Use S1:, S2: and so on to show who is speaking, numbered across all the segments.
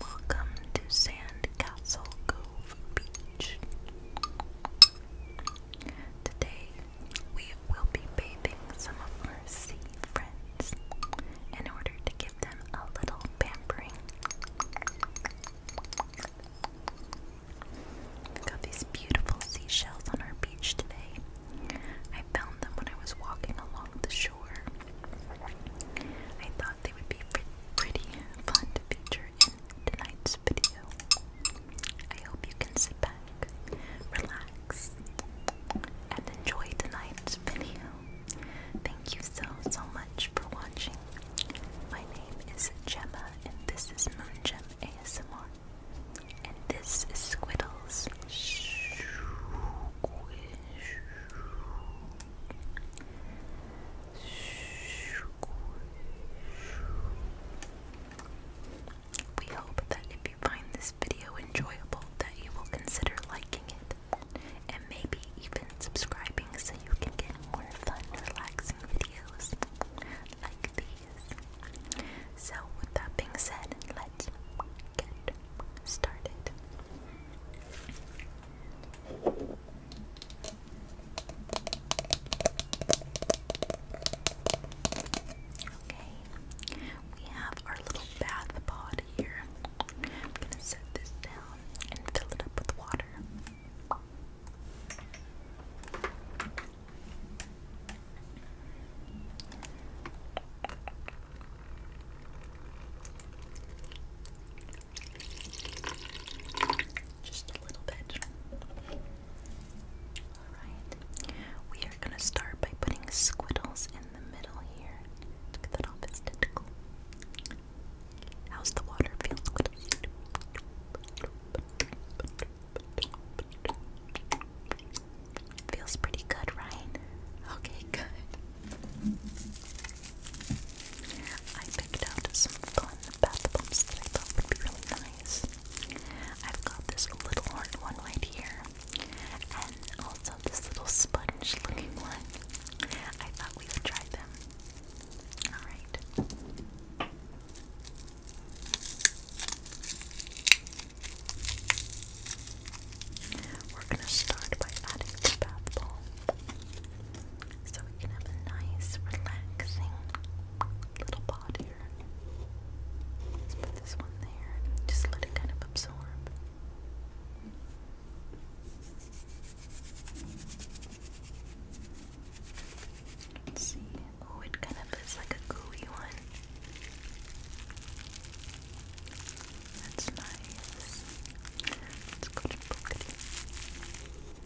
S1: Welcome to Sandcastle Cove Beach. Today, we will be bathing some of our sea friends in order to give them a little pampering. We've got these beautiful seashells on our beach today. I found them when I was walking along the shore. I thought they would be pretty fun to feature tonight's video. I hope you can sit back, relax, and enjoy tonight's video. Thank you so, so much for watching. My name is Gemma, and this is Moongem ASMR. And this is Squiddles. We hope that if you find this video enjoyable that you will consider liking it and maybe even subscribing so you can get more fun, relaxing videos like these. So with that being said, let's get started. Okay, we have our little bath pod here. I'm gonna set this down and fill it up with water. Just a little bit. Alright. We are going to start by putting squiddles in the middle here. Look that off his tentacle. How's the water feel, squiddles? Feels pretty good, right? Okay, good. I picked out some fun bath bombs that I thought would be really nice. I've got this little hard one right here, and also this little sponge looking one. I thought we would try them. Alright. We're going to start by adding the bath ball so we can have a nice, relaxing little pot here. Let's put this one there. Just let it kind of absorb. Let's see. Oh, it kind of is like a gooey one. That's nice. Let's go to Bookity.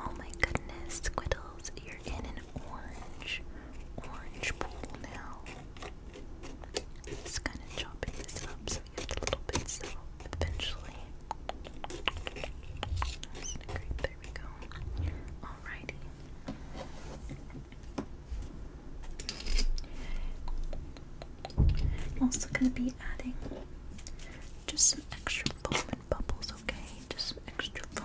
S1: Oh my goodness, Squiddles, you're in an orange, orange pool now. Just kind of chopping this up eventually. there we go. Alrighty. I'm also gonna be adding just some extra foam and bubbles, okay? Just some extra foam.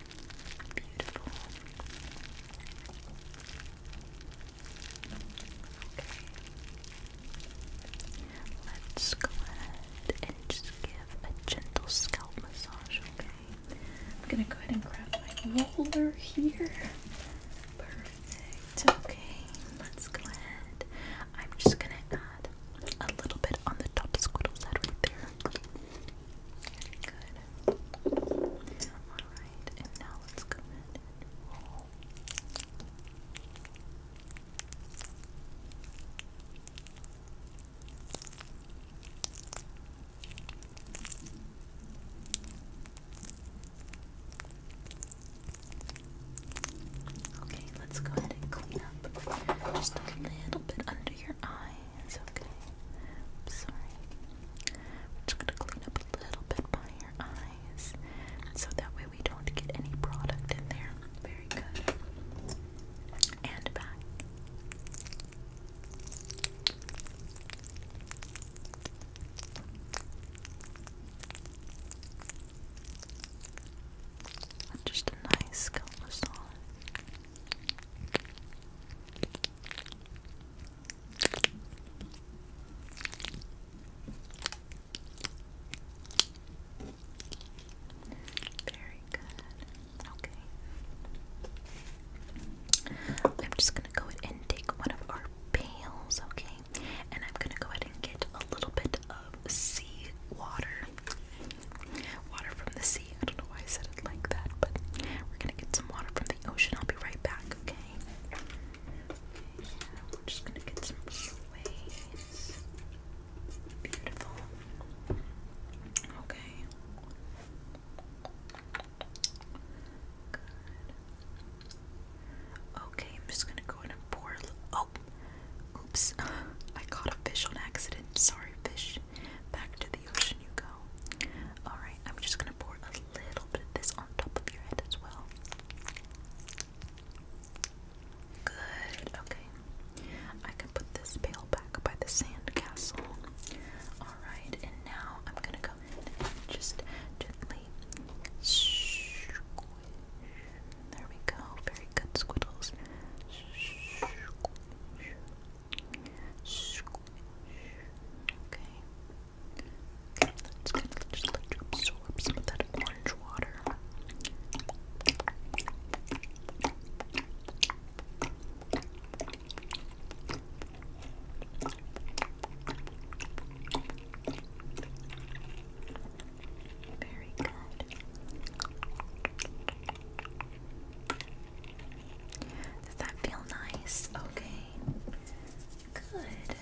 S1: Beautiful. Okay. Let's go ahead and just give a gentle scalp massage, okay? I'm gonna go ahead and grab my roller here. Perfect. Okay, let's go ahead. I'm just gonna add a little bit on the top of Squiddle's head right there. Good. Alright, and now let's go ahead and roll. Okay, let's go ahead and clean up just a little bit under your eye. It's okay. I'm sorry. We're just gonna clean up a little bit by your eyes, so that way we don't get any product in there. Very good. And back. Just a nice scalp massage. Very good. Okay. I'm just going to go ahead and take one of our pails, okay? And I'm going to go ahead and get a little bit of sea water. Water from the sea. I don't know why I said like that, but we're gonna get some water from the ocean. I'll be right back, okay? okay yeah, we just gonna get some Beautiful. Okay. Okay, I'm just gonna go and pour a oh, Oops. I caught a fish on accident. Sorry, fish. Back to Alright, I'm just gonna pour a little bit of this on top of your head as well. Good, okay. I can put this pail back by the sand Alright, and now I'm gonna go in and just gently There we go. Very good, Squiddles. Okay. Let's just let you absorb some of that orange water. Very good. Does that feel nice? Okay. Good.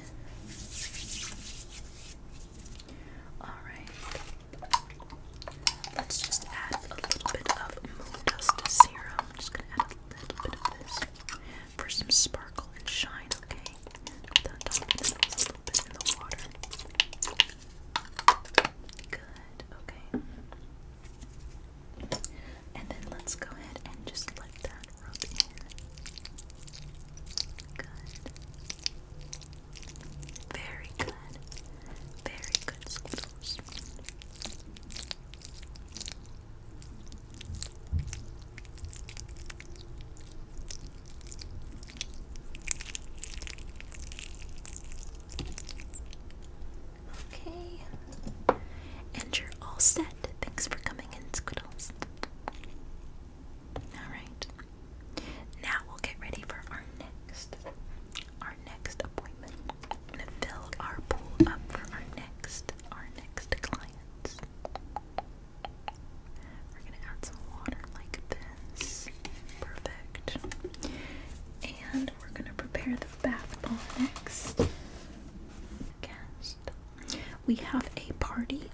S1: Alright. Let's just add a little bit of moon serum. I'm just gonna add a little bit of this for some sparkle and shine, okay? Good, okay. And then let's go ahead and just let that rub in. Good. Very good. Very good, Skittles. Okay. And you're all set. Thanks for coming in, Skittles. Alright. Now we'll get ready for our next our next appointment. I'm gonna fill our pool up for our next our next clients. We're gonna add some water like this. Perfect. And we're gonna prepare the bath ball next. We have a party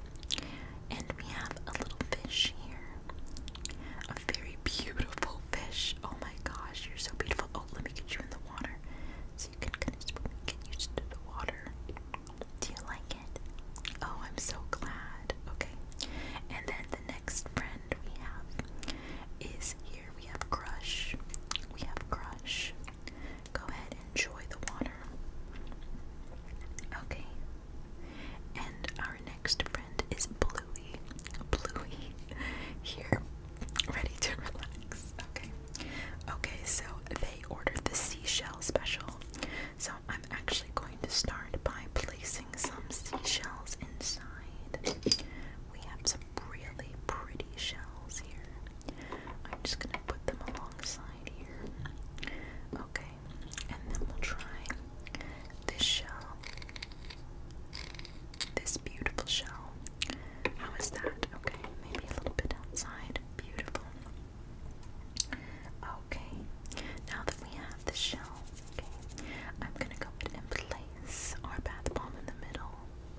S1: and we have a little fish here. A very beautiful fish. Oh my gosh, you're so beautiful. Oh, let me get you in the water so you can kind of get used to the water. Do you like it? Oh, I'm so glad. Okay. And then the next friend we have is here. We have Crush. We have Crush. Go ahead, enjoy the water. Okay. And our next friend is Bluey. Bluey. Here, ready to relax. Okay. Okay, so they ordered the seashell special. So I'm actually going to start by placing some seashells inside. We have some really pretty shells here. I'm just gonna put them alongside here. Okay, and then we'll try this shell. This beautiful shell. How is that? Okay, maybe a little bit outside. Beautiful. Okay, now that we have the shell, okay, I'm gonna go ahead and place our bath bomb in the middle.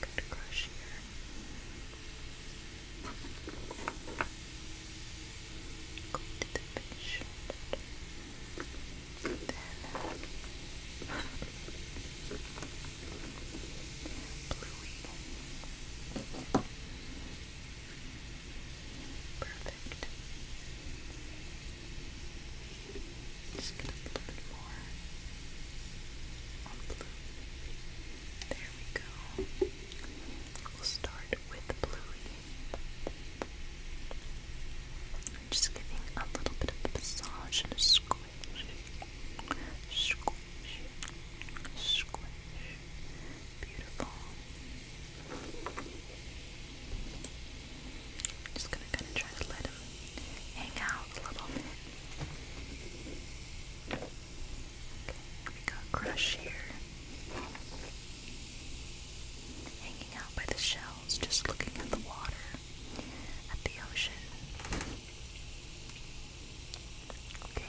S1: Good crush here. Go to the fish. Then bluey. Perfect. Just get a little bit more blue. There we go. We'll start with bluey. just giving a little bit of a massage and a squish. Squish. Squish. Beautiful. just gonna kind of try to let him hang out a little we got Crush here. Hanging out by the shells, just looking at the water, at the ocean. Okay,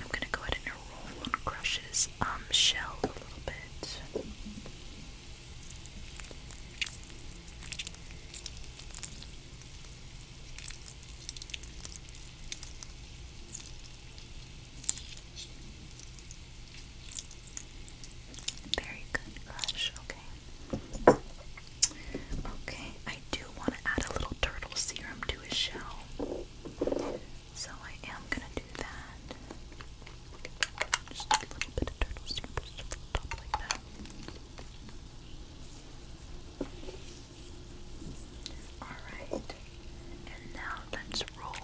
S1: I'm gonna go ahead and roll on Crush's um shell a little bit. Very good, Crush. Okay. Okay, I do want to add a little turtle serum to his shell. So I am gonna do that. Just a little bit of turtle to the top like that. Alright, and now let's roll.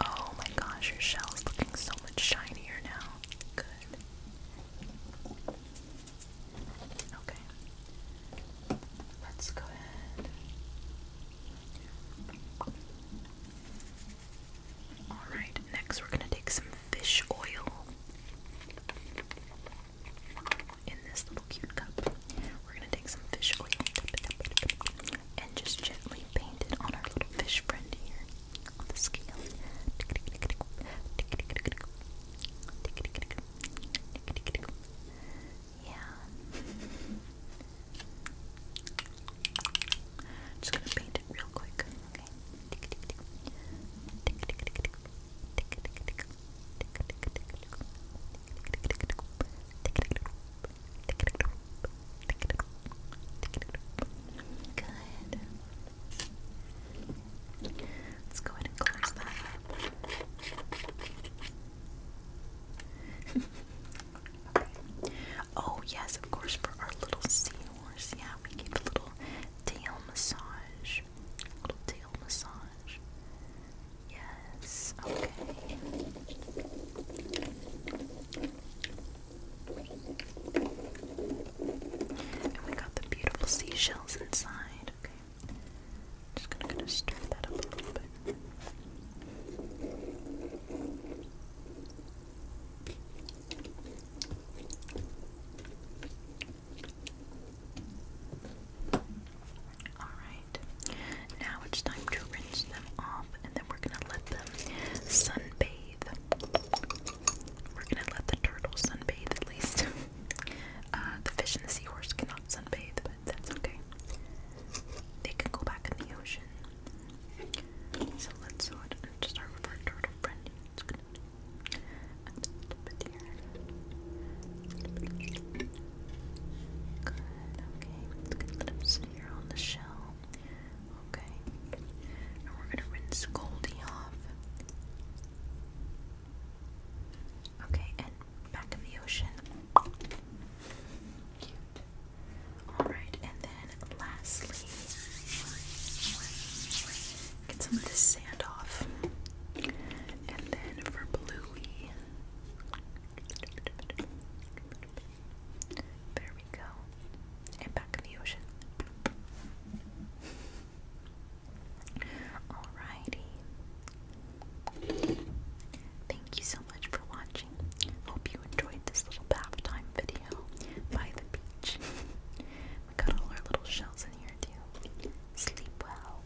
S1: Oh my gosh, your shell is looking so much shinier now. Good. Okay. Let's go ahead. Alright, next we're going to take some fish oil in this little cute cup. We're going to take some fish oil and just gently paint it on our little fish friend here on the scale. Yeah. Just gonna paint it real quick. Okay. Good. Let's go ahead and close that Oh, yes, of course, for our little seahorse. Yeah, we give a little tail massage. little tail massage. Yes, okay. And we got the beautiful seashells inside. Okay. Just gonna kind of stir that up a little bit. Alright, now it's time to rinse them off and then we're going to let them sunbathe we're gonna let the turtle sunbathe at least. Uh, the fish and the seahorse cannot sunbathe, but that's okay. They can go back in the ocean. So let's just start with our turtle friend. Good, okay. Let's get a little bit here on the shell. Okay. And we're gonna rinse Goldie off. Okay, and back in the ocean. Cute. Alright, and then lastly, get some of this sand off. And then for Bluey, there we go. And back in the ocean. Alrighty. Thank you so much for watching. Hope you enjoyed this little bath time video by the beach. we got all our little shells in here too. Sleep well.